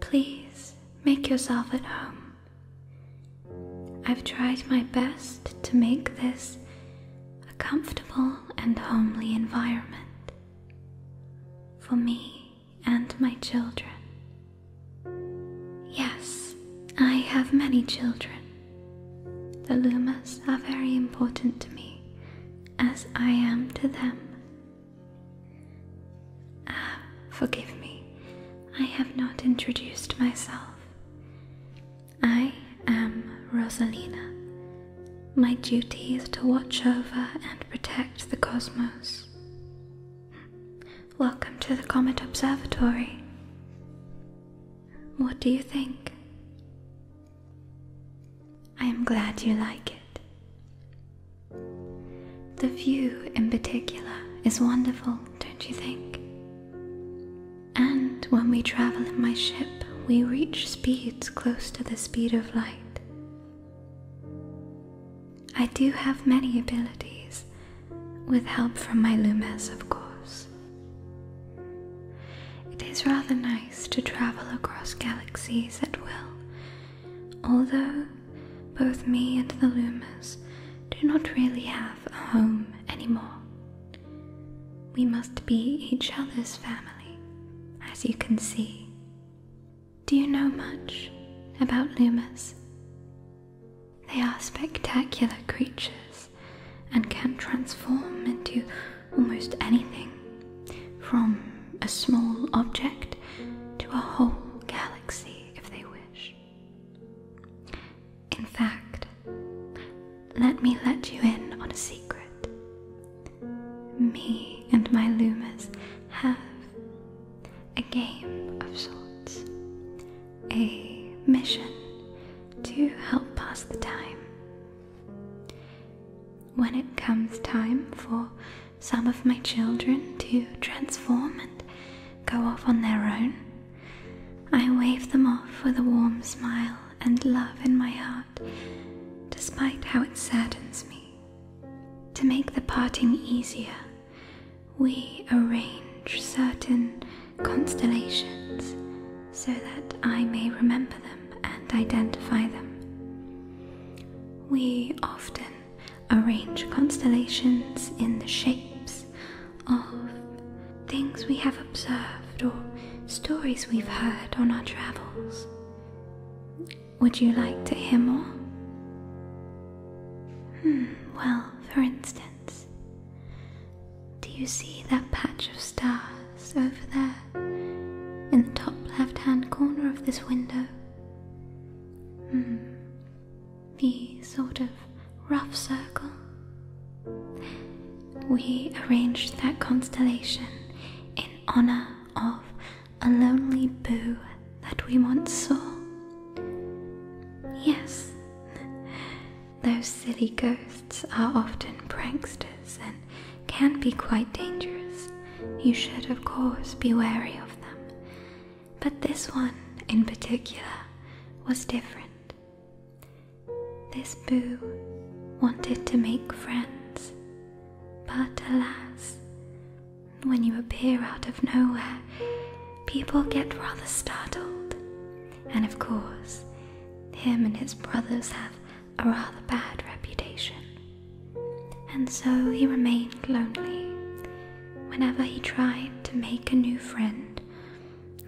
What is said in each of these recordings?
Please make yourself at home. I've tried my best to make this a comfortable and homely environment for me and my children. Yes, I have many children. The Lumas are very important to me, as I am to them. Ah, forgive me, I have not introduced myself. I am Rosalina. My duty is to watch over and protect the cosmos. Welcome to the Comet Observatory. What do you think? I am glad you like it. The view in particular is wonderful, don't you think? And when we travel in my ship, we reach speeds close to the speed of light. I do have many abilities, with help from my Lumes, of course. It is rather nice to travel across galaxies at will Although both me and the Loomis do not really have a home anymore, we must be each other's family, as you can see. Do you know much about Loomis? They are spectacular creatures and can transform into almost anything from a small object to a whole galaxy, if they wish. In fact, let me let you in on a secret. Me and my Lumas have a game of sorts, a mission to help pass the time. When it comes time for some of my children to transform and go off on their own. I wave them off with a warm smile and love in my heart, despite how it saddens me. To make the parting easier, we arrange certain constellations so that I may remember them and identify them. We often arrange constellations in the shapes of things we have observed or stories we've heard on our travels. Would you like to hear more? Hmm, well, for instance, do you see that patch of stars? glass over there in the top left hand corner of this window. Hmm, the sort of rough circle. We arranged that constellation in honor of a lonely boo that we once saw. Yes, those silly ghosts are often pranksters and can be quite dangerous. You should, of course, be wary of them. But this one in particular was different. This Boo wanted to make friends, but alas, when you appear out of nowhere, people get rather startled. And of course, him and his brothers have a rather bad reputation, and so he remained lonely. Whenever he tried to make a new friend,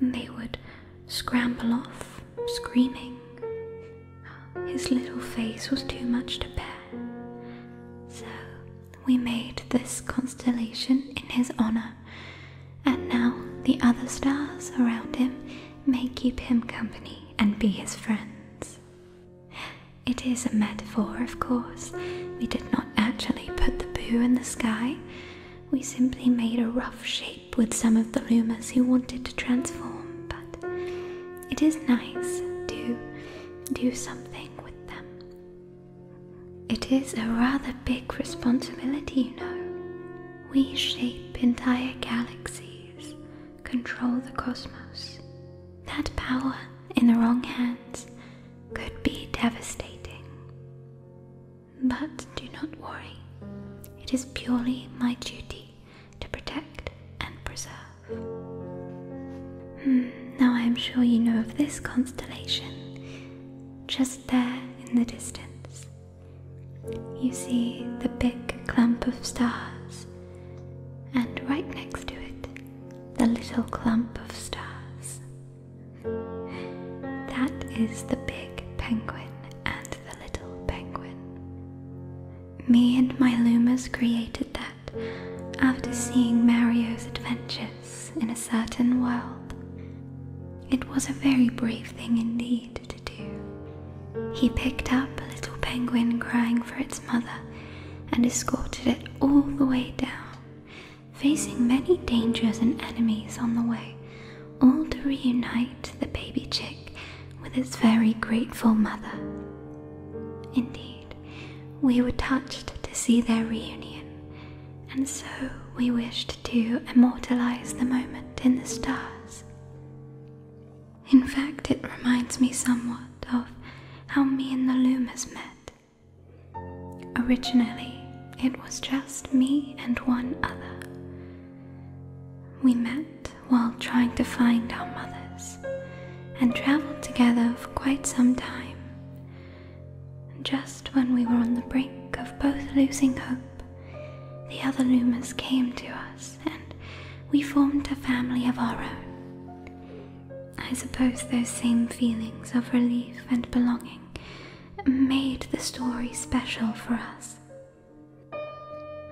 they would scramble off, screaming. His little face was too much to bear, so we made this constellation in his honour, and now the other stars around him may keep him company and be his friends. It is a metaphor, of course. We did not actually put the boo in the sky, we simply made a rough shape with some of the Lumas who wanted to transform, but it is nice to do something with them. It is a rather big responsibility, you know. We shape entire galaxies, control the cosmos. That power in the wrong hands could be devastating. But do not worry, it is purely my duty to protect and preserve. Hmm, now I am sure you know of this constellation, just there in the distance. You see the big clump of stars, and right next to it, the little clump of stars. That is the big penguin and the little penguin. Me and my Lumas created that after seeing Mario's adventures in a certain world. It was a very brave thing indeed he picked up a little penguin crying for its mother and escorted it all the way down, facing many dangers and enemies on the way, all to reunite the baby chick with its very grateful mother. Indeed, we were touched to see their reunion, and so we wished to immortalize the moment in the stars. In fact, it reminds me somewhat of how me and the Loomers met. Originally, it was just me and one other. We met while trying to find our mothers and travelled together for quite some time. Just when we were on the brink of both losing hope the other Lumas came to us, and we formed a family of our own. I suppose those same feelings of relief and belonging made the story special for us.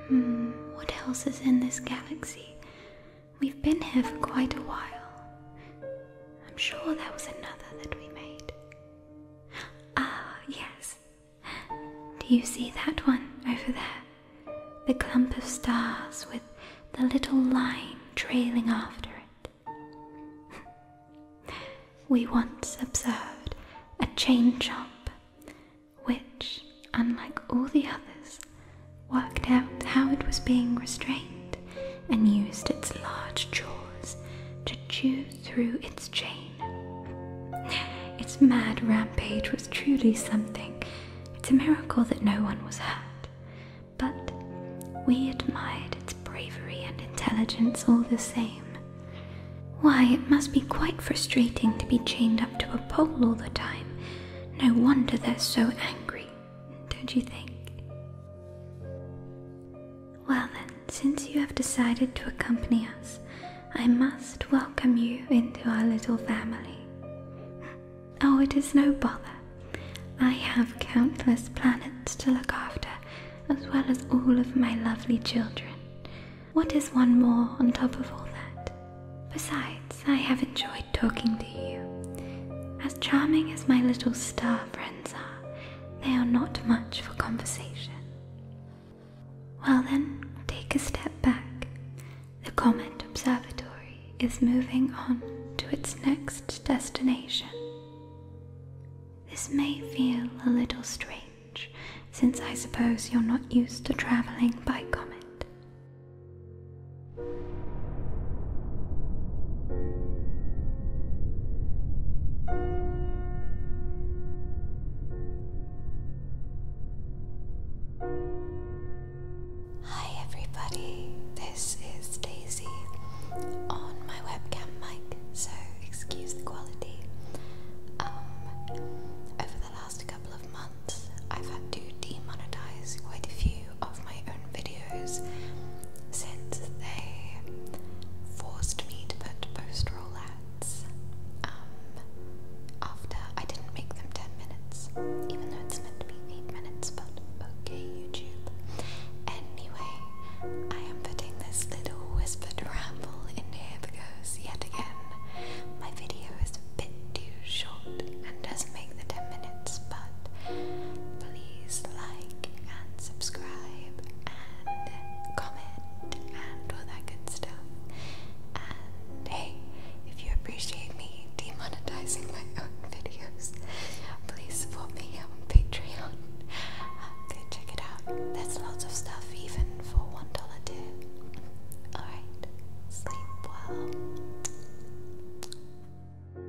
Hmm, what else is in this galaxy? We've been here for quite a while. I'm sure there was another that we made. Ah, yes. Do you see that one over there? The clump of stars with the little line trailing after it. we once observed a chain chop, which, unlike all the others, worked out how it was being restrained and used its large jaws to chew through its chain. Its mad rampage was truly something. It's a miracle that no one was hurt, but we admired its bravery and intelligence all the same. Why, it must be quite frustrating to be chained up to a pole all the time. No wonder they're so angry, don't you think? Well then, since you have decided to accompany us, I must welcome you into our little family. Oh, it is no bother. I have countless planets to look after, as well as all of my lovely children. What is one more on top of all that? Besides, I have enjoyed talking to you. As charming as my little star friends are, they are not much for conversation. Well, then, take a step back. The Comet Observatory is moving on to its next destination. This may feel a little strange, since I suppose you're not used to traveling by comet. Hi everybody, this is Daisy on my webcam mic, so excuse the quality. Um, over the last couple of months, I've had to demonetize quite a few of my own videos since they forced me to put post roll ads um, after I didn't make them 10 minutes, even though it's meant to be 8 minutes, but okay, YouTube. Anyway, I am putting this little whispered ramble in here because, yet again, my video is a bit too short and doesn't make the 10 minutes, but Please like and subscribe and comment and all that good stuff. And hey, if you appreciate me demonetizing my own videos, please support me on Patreon. Go check it out. There's lots of stuff even for one dollar too. Alright, sleep well.